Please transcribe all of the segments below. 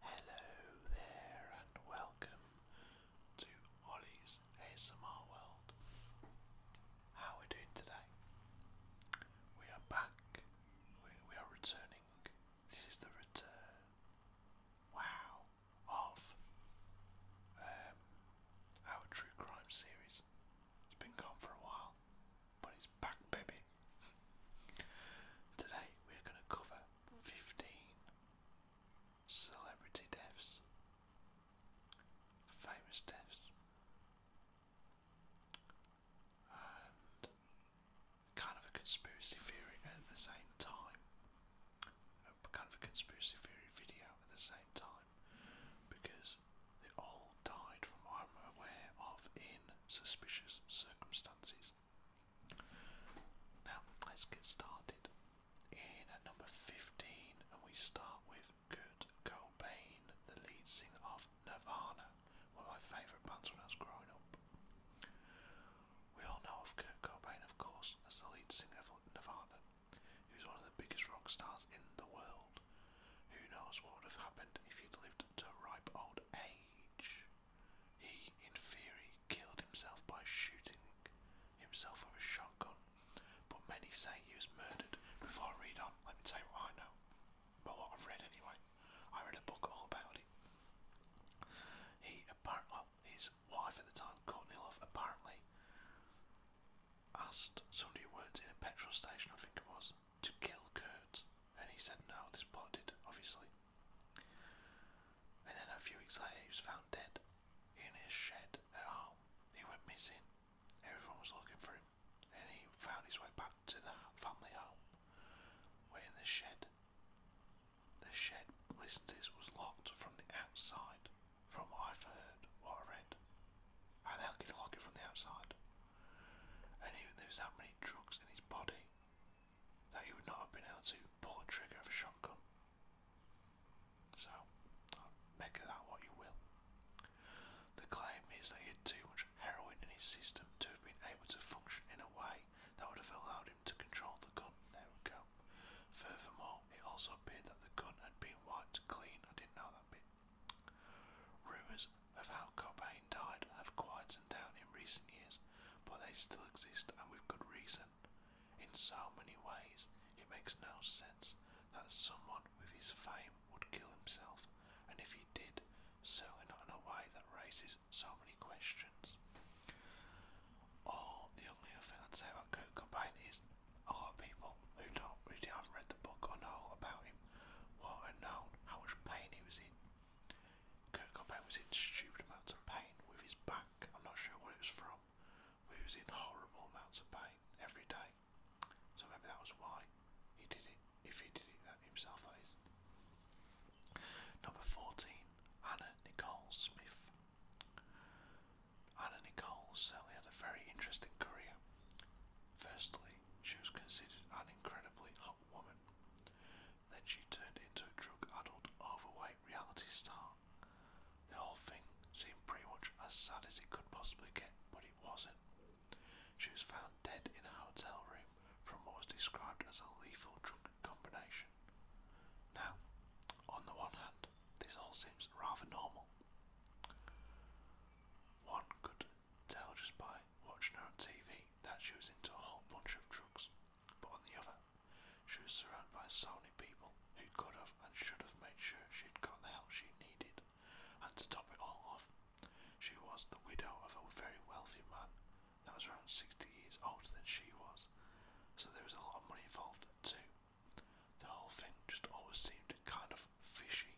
Hello there and welcome to Ollie's ASMR World. How are we doing today? We are back we, are returning. This is the return. Wow. Of um, our true crime series. It's been gone for a while, but it's back, baby. Today we're going to cover 15 celebrity deaths, famous deaths, kind of a conspiracy theory at the same time. kind of a conspiracy theory video at the same time because they all died from I'm aware of in suspicious circumstances. Now, let's get started. In at number 15, and we start with Kurt Cobain, the lead singer of Nirvana, one of my favourite bands when I was growing up. We all know of Kurt Cobain, of course, as the lead singer of Nirvana, who's one of the biggest rock stars in the world. Who knows what would have happened if he'd lived to ripe old age? He, in theory, killed himself by shooting himself with a shotgun, but many say he was murdered before I read on. Let me tell you what I know well, what I've read anyway. I read a book all about it. He apparently, his wife at the time, Courtney Love, apparently asked somebody who worked in a petrol station, I think it was, to kill Kurt, and he said no, this plot did, obviously. And then a few weeks later, he was found dead in his shed at home. He went missing. Everyone was looking for him. And he found his way back to the family home, where in the shed, the shed, listen to this, was locked from the outside, from what I've heard, what I read. How the hell could you lock it from the outside? And he, there was that many drugs in his body that he would not have been able to pull a trigger of a shotgun. So, make of that what you will. The claim is that he had too much heroin in his system to have been able to function in a way that would have allowed him to control the gun. There we go. Furthermore, it also appeared that the gun had been wiped clean. I didn't know that bit. Rumours of how Cobain died have quietened down in recent years, but they still exist and with good reason. In so many ways, it makes no sense that someone with his fame would kill himself, and if he did, certainly not in a way that raises so many questions. Or the only other thing I'd say about Kurt Cobain is a lot of people who don't really haven't read the book or know about him won't have known how much pain he was in. Kurt Cobain was in stupid amounts of pain with his back. I'm not sure what it was from, but he was in horrible amounts of pain day, every day. So maybe that was why he did it, if he did it himself, that is. Number 14, Anna Nicole Smith. Anna Nicole certainly had a very interesting career. Firstly, she was considered an incredibly hot woman. Then she turned into a drug-addled, overweight reality star. The whole thing seemed pretty much as sad as it could possibly get, wasn't. She was found dead in a hotel room from what was described as a lethal drug combination. Now, on the one hand, this all seems rather normal. One could tell just by watching her on TV that she was into a whole bunch of drugs, but on the other, she was surrounded by so many people who could have and should have made sure she'd got the help she needed, and to top it all off, she was the widow of a very wealthy man that was around 60 years older than she was, so there was a lot of money involved too. The whole thing just always seemed kind of fishy.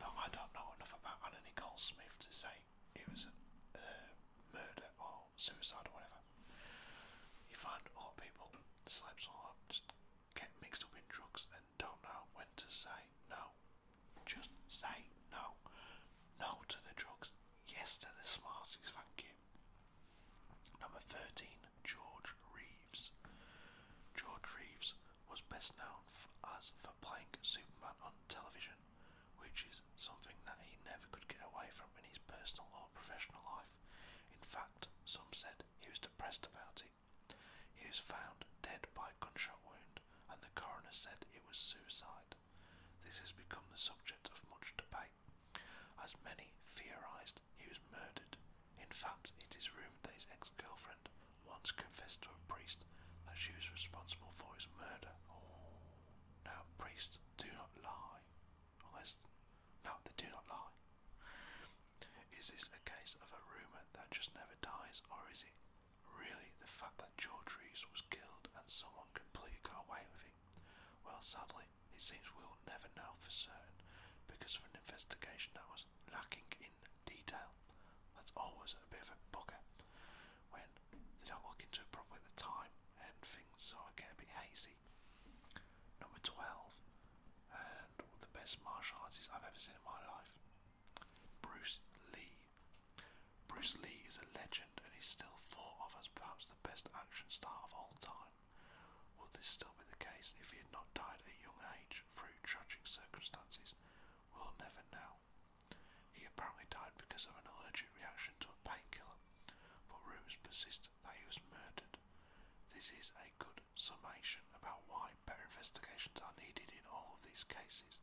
Now, I don't know enough about Anna Nicole Smith to say it was a uh, murder or suicide or whatever. You find a lot of people, slaps or just get mixed up in drugs and don't know when to say no. Just say no. No to the drugs, yes to the smarties, thank you. Number 13, George Reeves. George Reeves was best known for, as for playing Superman on television, which is something that he never could get away from in his personal or professional life. In fact, some said he was depressed about it he was found dead by gunshot wound, and the coroner said it was suicide. This has become the subject of much debate, as many theorised he was murdered. In fact, it is rumoured that his ex girlfriend once confessed to a priest that she was responsible for his murder. Now, priests do not lie. Unless. No, they do not lie. Is this a case of a rumour that just never dies, or is it really the fact that George Reeves was killed and someone completely got away with it? Well, sadly, it seems we'll never know for certain because of an investigation that was lacking in detail. That's always a bit of a bugger when they don't look into it properly at the time and things sort of get a bit hazy. Number 12 and one of the best martial artists I've ever seen in my life, Bruce Lee. Bruce Lee is a legend and is still thought of as perhaps the best action star of all time. Would this still be the case if he had not died at a young age through tragic circumstances? We'll never know. He apparently died because of an allergic reaction to a painkiller, but rumours persist that he was murdered. This is a a good summation about why better investigations are needed in all of these cases.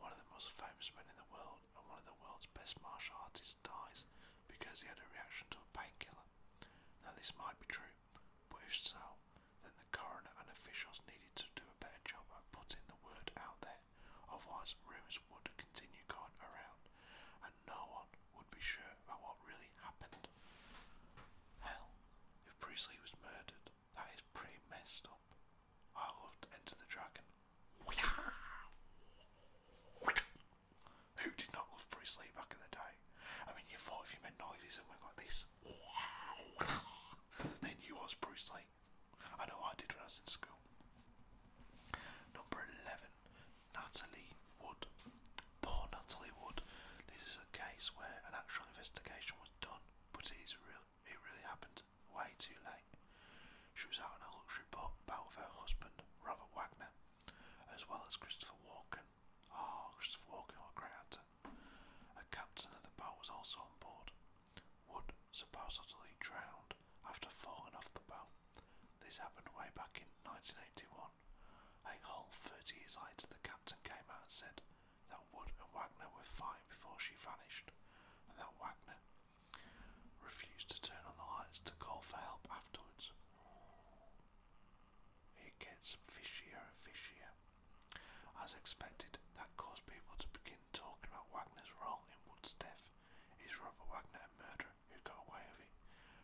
One of the most famous men in the world and one of the world's best martial artists dies because he had a reaction to a painkiller. Now, this might be true, but if so, then the coroner and officials needed to do a better job at putting the word out there, otherwise, rumours would continue going around and no one would be sure out about what really happened. Hell, if Bruce Lee was murdered, that is pretty messed up. I loved Enter the Dragon. Who did not love Bruce Lee back in the day? I mean, you thought if you made noises and went like this, then you was Bruce Lee. I know I did when I was in school. Number 11, Natalie Wood. Poor Natalie Wood. This is a case where an actual investigation was done, but it, is real, it really happened way too late. She was out on a luxury boat about with her husband, Robert Wagner, as well as Christopher Walken. Ah, Christopher Walken, what great actor. A captain of the boat was also on board. Wood supposedly drowned after falling off the boat. This happened way back in 1981 a whole thirty years later, the captain came out and said that Wood and Wagner were fine before she vanished, and that Wagner refused to turn on the lights to call for help afterwards. It gets fishier and fishier. As expected, that caused people to begin talking about Wagner's role in Wood's death. Is Robert Wagner a murderer who got away with it,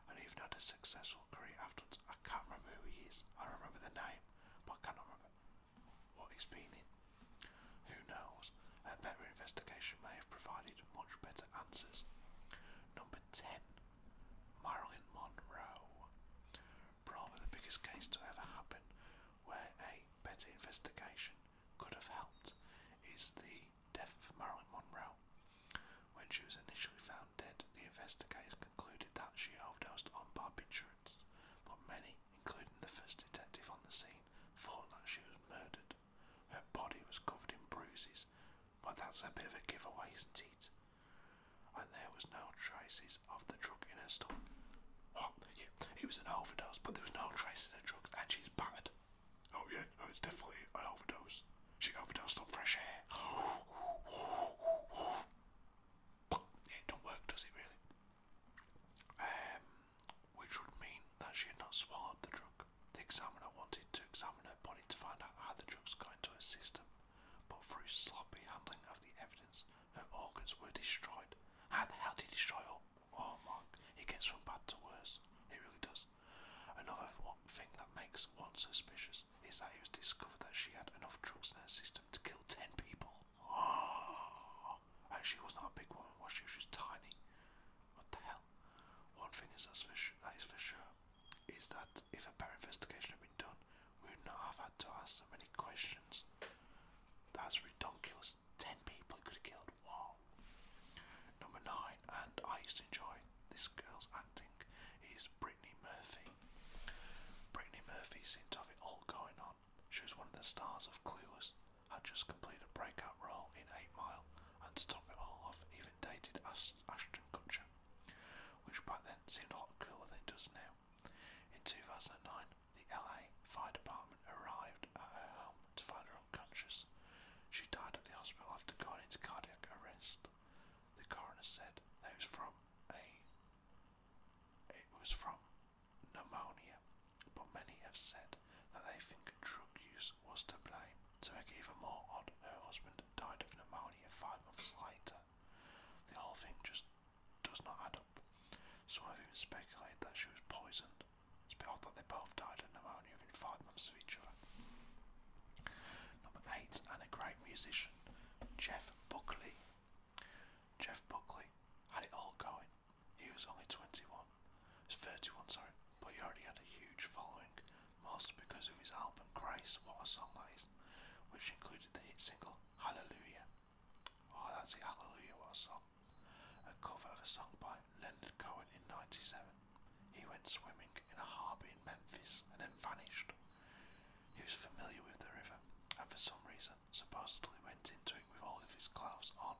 and even had a successful so great afterwards. I can't remember who he is. I remember the name, but I cannot remember what he's been in. Who knows? A better investigation may have provided much better answers. Number 10. Marilyn Monroe. Probably the biggest case to ever happen where a better investigation could have helped is the death of Marilyn Monroe. When she was initially found the investigators concluded that she overdosed on barbiturates, but many, including the first detective on the scene, thought that she was murdered. Her body was covered in bruises, but that's a bit of a giveaway, isn't it? And there was no traces of the drug in her stomach. What? Yeah, it was an overdose, but there was no traces of drugs, and she's battered. Oh yeah, oh, it's definitely an overdose. She overdosed on fresh air. it don't work, does it really? Um, which would mean that she had not swallowed the drug. The examiner wanted to examine her body to find out how the drugs got into her system, but through sloppy handling of the evidence, her organs were destroyed. How the hell did he destroy all? Oh, Mark, it gets from bad to worse. It really does. Another thing that makes one suspicious is that it was discovered that she had enough drugs in her system to kill 10 people. Oh, and she was not a big woman, was she? She was tiny. What the hell? One thing is that's for sure, that is for sure is that if a better investigation had been done, we would not have had to ask so many questions. That's ridiculous. 10 people could have killed. one. Number 9, and I used to enjoy this girl's acting. He's Bri Brittany Murphy. Brittany Murphy seemed to have it all going on. She was one of the stars of Clueless, had just completed a breakout role in 8 Mile, and to top it all off, even dated Ashton Kutcher, which back then seemed a lot cooler than it does now. In 2009, the LA Fire Department arrived at her home to find her unconscious. She died at the hospital after going into cardiac arrest the coroner said. That was from a it was from pneumonia, but many have said that they think drug use was to blame. To make even more odd, her husband died of pneumonia five months later. The whole thing just does not add up. Some have even speculated that she was poisoned. It's a that they both died of pneumonia within five Number eight, and a great musician, Jeff Buckley. Jeff Buckley had it all going. He was only 21, was 31, sorry, but he already had a huge following, mostly because of his album Grace, What a Song That Is, which included the hit single Hallelujah. Oh, that's it, Hallelujah, what a song. A cover of a song by Leonard Cohen in 97. He went swimming in a harbour in Memphis and then vanished. He was familiar with the river and for some reason supposedly went into it with all of his clothes on.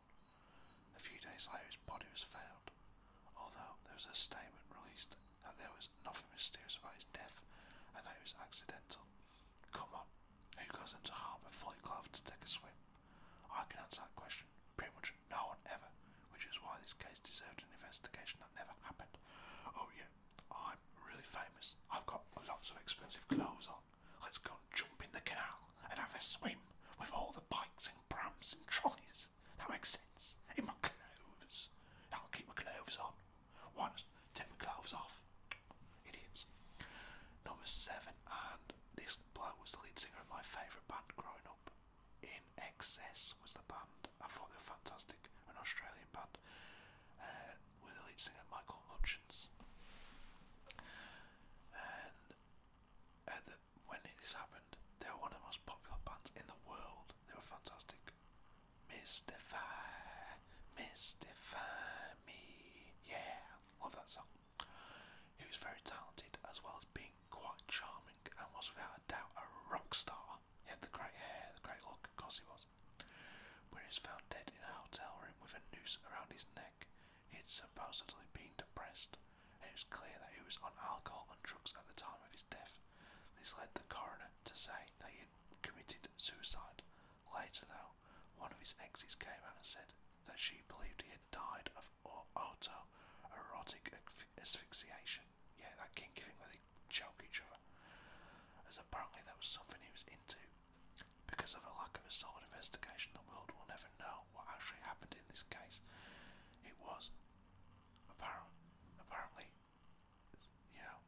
A few days later his body was found, although there was a statement released that there was nothing mysterious about his death and that it was accidental. Come on, who goes into harbour fully clothed to take a swim? I can answer that question. Pretty much no one ever which is why this case deserved an investigation that never happened. Oh yeah, I'm really famous. I've got lots of expensive clothes on. Let's go jump in the canal and have a swim with all the bikes and prams and trolleys. That makes sense. In my clothes. I'll keep my clothes on. Why take my clothes off? Idiots. Number seven, and this bloke was the lead singer of my favourite band growing up. In Excess was the band. I thought they were fantastic. An Australian band uh, with the lead singer Michael Hutchins. And uh, when this happened, they were one of the most popular bands in the world. They were fantastic. Mystify, mystify me. Yeah, love that song. He was very talented as well as being quite charming and was without a doubt a rock star. Potter. He had the great hair, the great look, of course he was. When he was found dead in a hotel room with a noose around his neck, he had supposedly been depressed, and it was clear that he was on alcohol and drugs at the time of his death. This led the coroner to say that he had committed suicide. Later, though, one of his exes came out and said that she believed he had died of autoerotic asphyxiation. Yeah, that kink-kicking where they choke each other. As apparently that was something he was into. Because of a lack of a solid investigation, the world will never know what actually happened in this case. It was apparently, apparently, you know,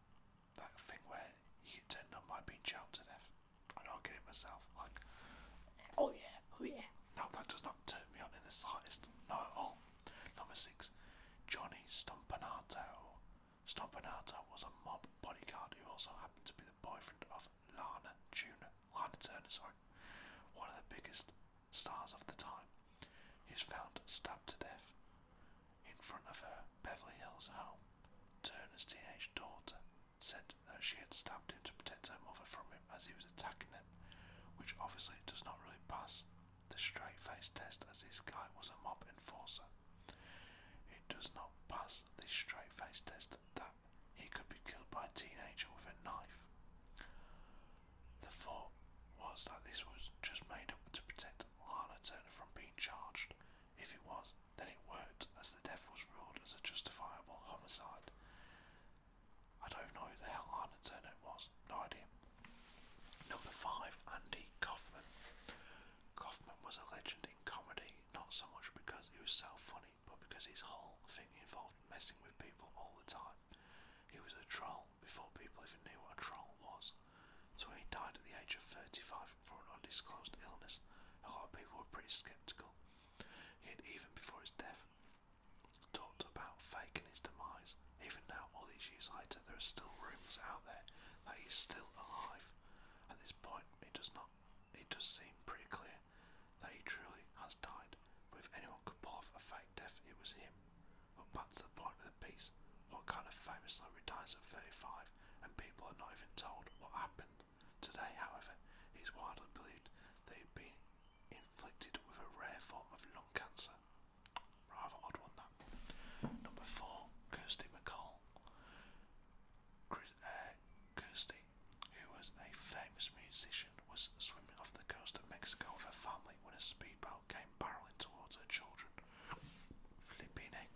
that thing where you get turned on by being choked to death. I don't get it myself. Like, oh yeah, oh yeah. No, that does not turn me on in the slightest. Not at all. Number six, Johnny Stompanato. Stompanato was a mob bodyguard who also happened to be the boyfriend of Lana Turner. Lana Turner, sorry, one of the biggest stars of the time. He was found stabbed to death in front of her Beverly Hills home. Turner's teenage daughter said that she had stabbed him to protect her mother from him as he was attacking them, which obviously does not really pass the straight face test as this guy was a mob enforcer. It does not pass the straight face test that he could be killed by a teenager with a knife. The thought was that this was just made up to protect Lana Turner from being charged. If it was, then it worked, as the death was ruled as a justifiable homicide. I don't know who the hell Arna Turner was, no idea. Number 5, Andy Kaufman. Kaufman was a legend in comedy, not so much because he was so funny, but because his whole thing involved messing with people all the time. He was a troll before people even knew what a troll was. So he died at the age of 35 from an undisclosed illness, a lot of people were pretty sceptical. Yet even before his death, talked about Fake and his demise. Even now, all these years later, there are still rumours out there that he's still alive. At this point, it does not it does seem pretty clear that he truly has died, but if anyone could pull off a fake death, it was him. But back to the point of the piece, what kind of famous celebrity dies at 35 and people are not even told what happened? Today, however, it is widely believed that he'd been inflicted with a rare form of lung cancer. Rather odd one that. Number four, Kirsty McCall. Uh, Kirsty, who was a famous musician, was swimming off the coast of Mexico with her family when a speedboat came barreling towards her children. Flipping egg.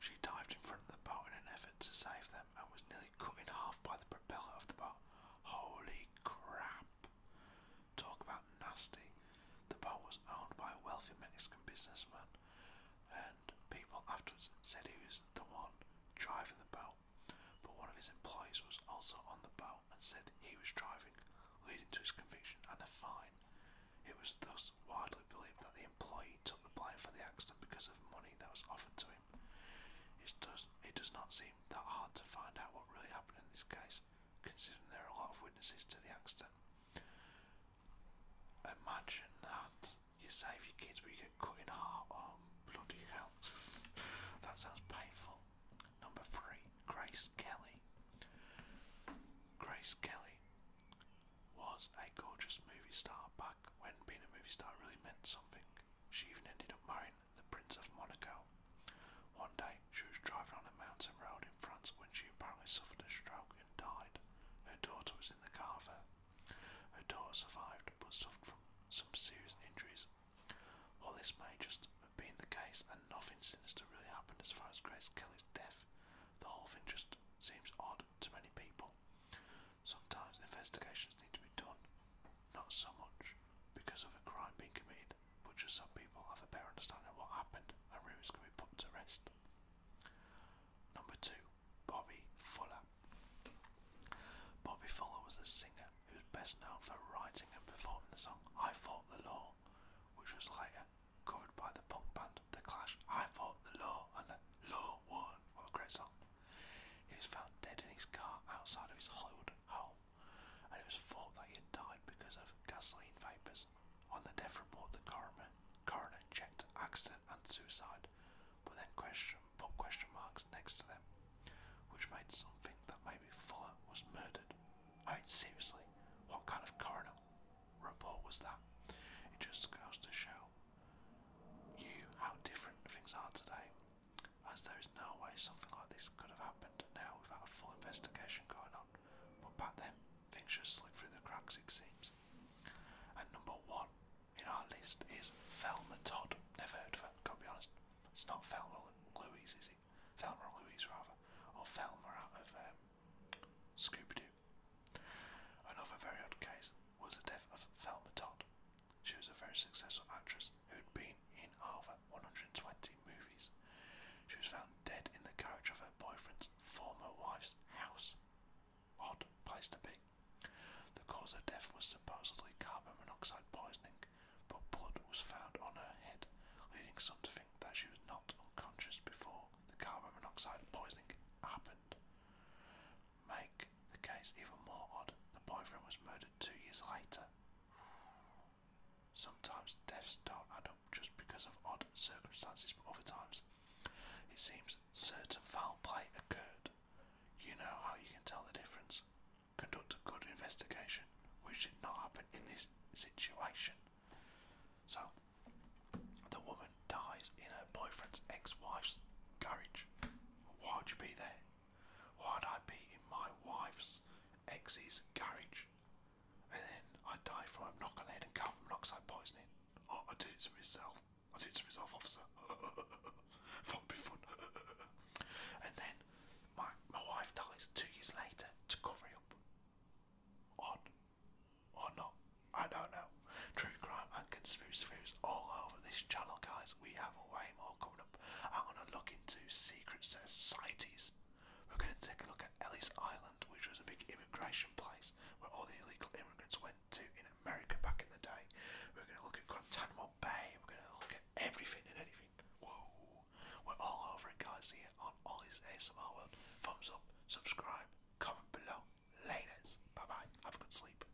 She dived in front of the boat in an effort to save them and was nearly cut in half by the propeller of the boat. Holy crap. Talk about nasty. The boat was owned by a wealthy Mexican businessman, and people afterwards said he was the one driving the boat. But one of his employees was also on the boat and said he was driving, leading to his conviction and a fine. It was thus widely believed that the employee took the blame for the accident because of money that was offered to it does, it does not seem that hard to find out what really happened in this case, considering there are a lot of witnesses to the accident. Imagine that. You save your kids but you get cut in half. Oh, bloody hell. that sounds painful. Number three, Grace Kelly. Grace Kelly was a gorgeous movie star back when being a movie star really meant something. She even ended up marrying the Prince of Monaco. One day, she was driving on a mountain road in France when she apparently suffered a stroke and died. Her daughter was in the car with her. Her daughter survived but suffered from some serious injuries. While this may just have been the case and nothing sinister really happened as far as Grace Kelly's death, the whole thing just seems odd to many people. Sometimes investigations need to be done not so much because of a crime being committed, but just so people have a better understanding of what happened and rumours can be put to rest. Number two, Bobby Fuller. Bobby Fuller was a singer who was best known for writing and performing the song I Fought the Law, which was later covered by the punk band The Clash. I Fought the Law and the Law Won. What a great song. He was found dead in his car outside of his Hollywood home, and it was thought that he had died because of gasoline vapours. On the death report, the coroner, coroner checked accident and suicide, but then question, put question marks next to them, which made some think that maybe Fuller was murdered. I mean, seriously, what kind of coroner report was that? It just goes to show you how different things are today as there is no way something like this could have happened now without a full investigation going on. But back then, things just slipped through the cracks, it seems. And number one in our list is Thelma Todd. Never heard of her, gotta be honest. It's not Thelma Louise, is it? Thelma Louise, rather. Or Thelma out of um, Scooby Doo. Another very odd case was the death of Thelma Todd, she was a very successful actress who'd been in over 120 movies. She was found dead in the garage of her boyfriend's former wife's house. Odd place to be. The cause of death was supposedly carbon monoxide poisoning, but blood was found on her head, leading some to think that she was not unconscious before the carbon monoxide poisoning happened make the case even more odd, the boyfriend was murdered two years later. Sometimes deaths don't add up just because of odd circumstances, but other times it seems certain foul play occurred. You know how you can tell the difference. Conduct a good investigation, which did not happen in this situation. So, the woman dies in her boyfriend's ex wife's garage. Why would you be there? Why'd I be in my wife's ex's garage? And then I die from a knock-on-head and carbon monoxide poisoning. Oh, I did it to myself. I did it to myself, officer. it'd be fun. and then my my wife dies two years later to cover it up. Odd. Or not. I don't know. True crime and conspiracy theories all over this channel, guys. We have a way time coming up, I'm going to look into secret societies. We're going to take a look at Ellis Island, which was a big immigration place where all the illegal immigrants went to in America back in the day. We're going to look at Guantanamo Bay. We're going to look at everything and anything. Whoa! We're all over it, guys, here on all these ASMR World. Thumbs up, subscribe, comment below. Ladies, bye bye. Have a good sleep.